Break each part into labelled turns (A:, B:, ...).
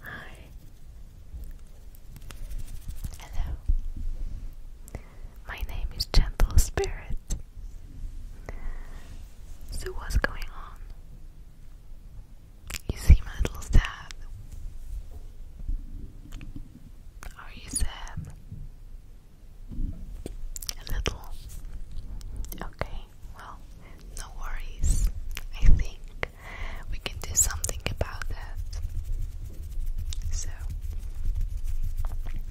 A: Hi. Hello. My name is Gentle Spirit. So, what's going on? You seem a little sad. Are you sad? A little. Okay well, no worries. I think we can do something about that. So,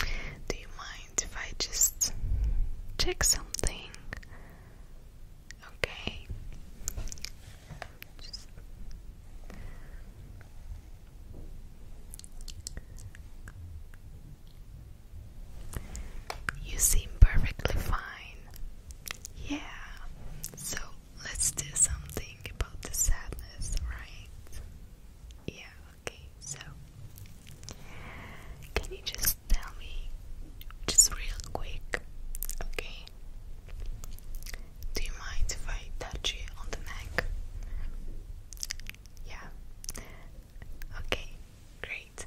A: do you mind if I just check something? Okay. Just you seem perfectly fine. Yeah. So let's do something about the sadness, right? Yeah, okay. So can you just tell me just real quick, okay? Do you mind if I touch you on the neck? Yeah. Okay, great.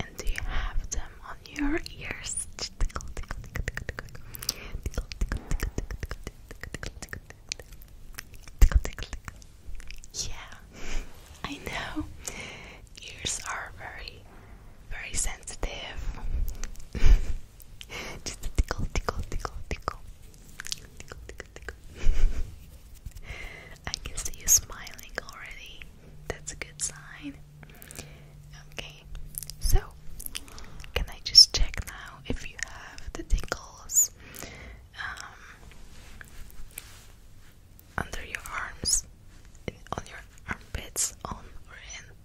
A: And do you have them on your ears? Yeah, I know. Ears are very very sensitive. Just tickle, tickle, tickle, tickle. Tickle, tickle, tickle. I can see you smiling already. That's a good sign. Okay, so can I just check now if you have the tickles um, under your arms, on your armpits, on or in?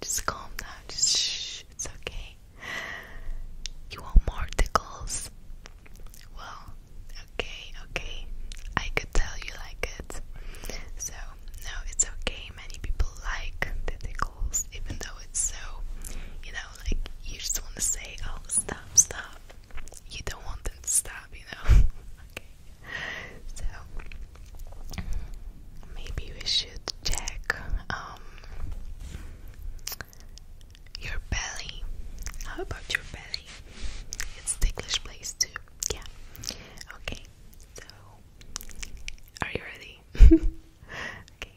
A: Just calm down. shh. It's okay. You want more tickles? Well, okay, okay. I could tell you like it. So, no, it's okay. Many people like the tickles, even though it's so, you know, like you just want to say, oh, stop, stop. You don't want them to stop, you know? okay. So, maybe we should check um your belly. How about your belly? It's ticklish place too. Yeah. Okay. So are you ready? okay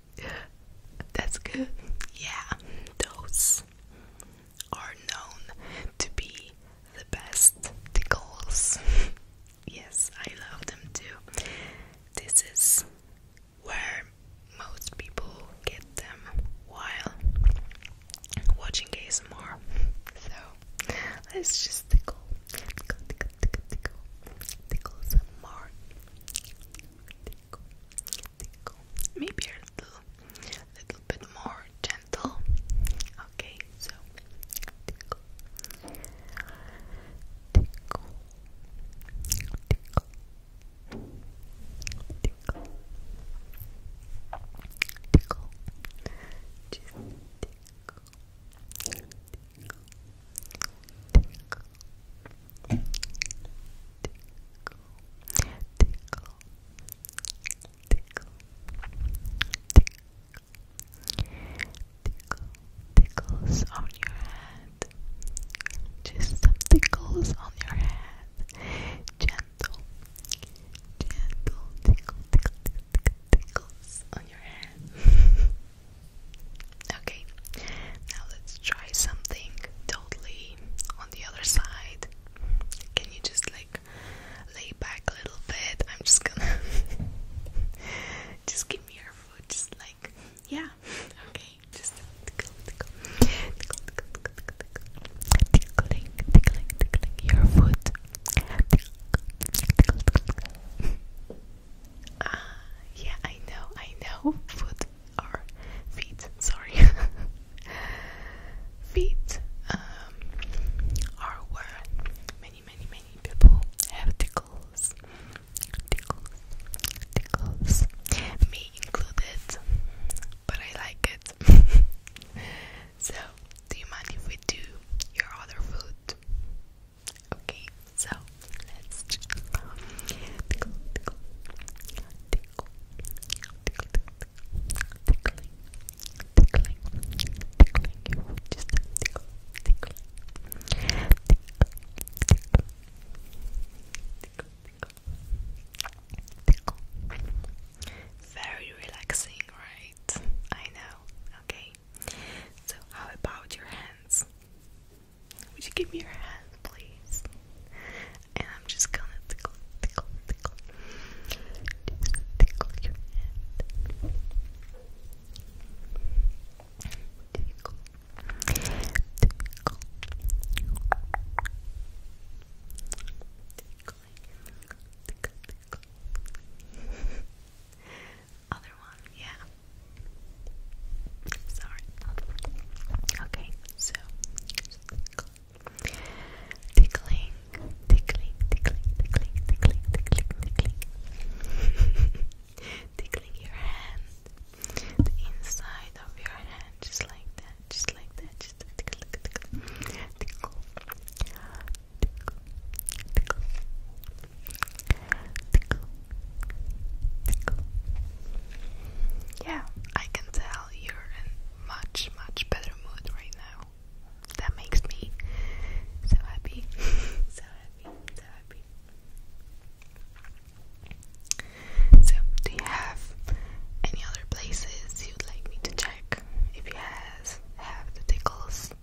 A: that's good. Yeah, those are known to be the best tickles. yes, I love them too. This is where most people get them while watching ASMR. So let's just tickle. tickle tickle, tickle, tickle, some more. Tickle, tickle. Maybe a little, little bit more gentle. Okay, so tickle, tickle, tickle, tickle, tickle. Just tickle tickles on your head. Just some tickles on your head. Gentle, gentle tickle, tickle, tickle tickles on your head. Okay, now let's try something totally on the other side. Can you just like lay back a little bit? I'm just gonna just give me your foot, just like yeah. Okay, just tickle, tickle, tickle, tickle, tickle, tickle, tickling, tickling, tickling your foot. Ah, yeah, I know, I know. Foot or feet, sorry. feet um, are where many, many, many people have tickles. Tickles, tickles. Me included, but I like it. so, do you mind if we do your other foot? Okay, so let's tickle, tickle, tickle, tickle, tickle, tickling, tickling, tickling you just tickle, tickle, tickle, tickle, tickle, tickle. Very relaxing, right? I know. Okay. So, how about your hands? Would you give me your hands, please? And I'm just gonna tickle, tickle, tickle. tickle your hand. Tickle. Tickle. Tickle. Tickle. tickle other one, yeah. Sorry. Okay, so tickling, tickling, tickling, tickling, tickling, tickling, tickling, tickling your hand, the inside of your hand, just like that, just like that, just tickle, tickle, tickle, yeah, I can tell you're in much, much better mood right now. That makes me so happy. so happy, so happy. So, do you have any other places you'd like me to check? If you has, have the tickles,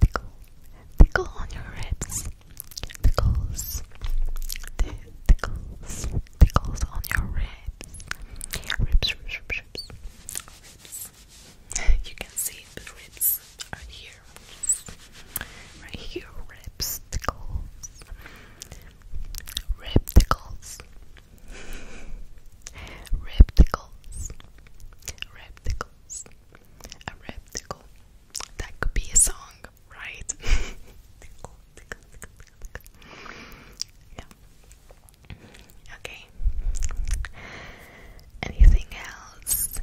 A: tickle, tickle, on your ribs. Tickles, tickles, tickles on your ribs. Ribs, ribs, ribs, ribs. You can see the ribs are here. Right here, ribs, tickles. Rib tickles. Repticles. Repticles. A repticle. That could be a song, right? Yeah. Okay. Anything else?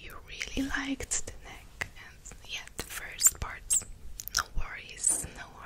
A: You really liked the neck and yeah, the first parts. No worries, no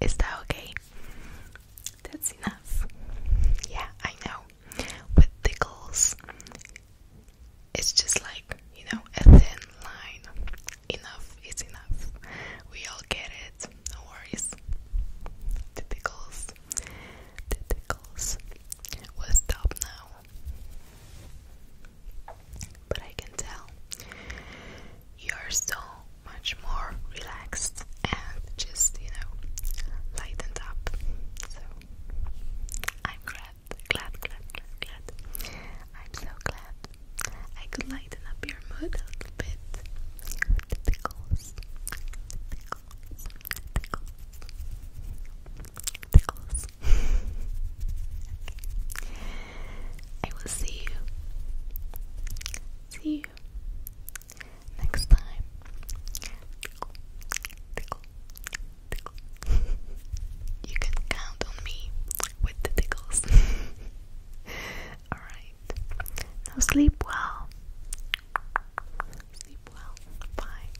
A: Is that okay? That's enough. Yeah, I know. With tickles, it's just like, you know, a thin line. Enough is enough. We all get it. No worries. The tickles. The tickles. We'll stop now. But I can tell you're so much more relaxed and just, you know, lightened up. So I'm glad, glad, glad, glad, I'm so glad I could lighten up your mood a little bit. The pickles. The Tickles. I will see you. See you next time. Tickle, tickle, tickle. you can count on me with the tickles. Alright. Now sleep well. Sleep well. Bye.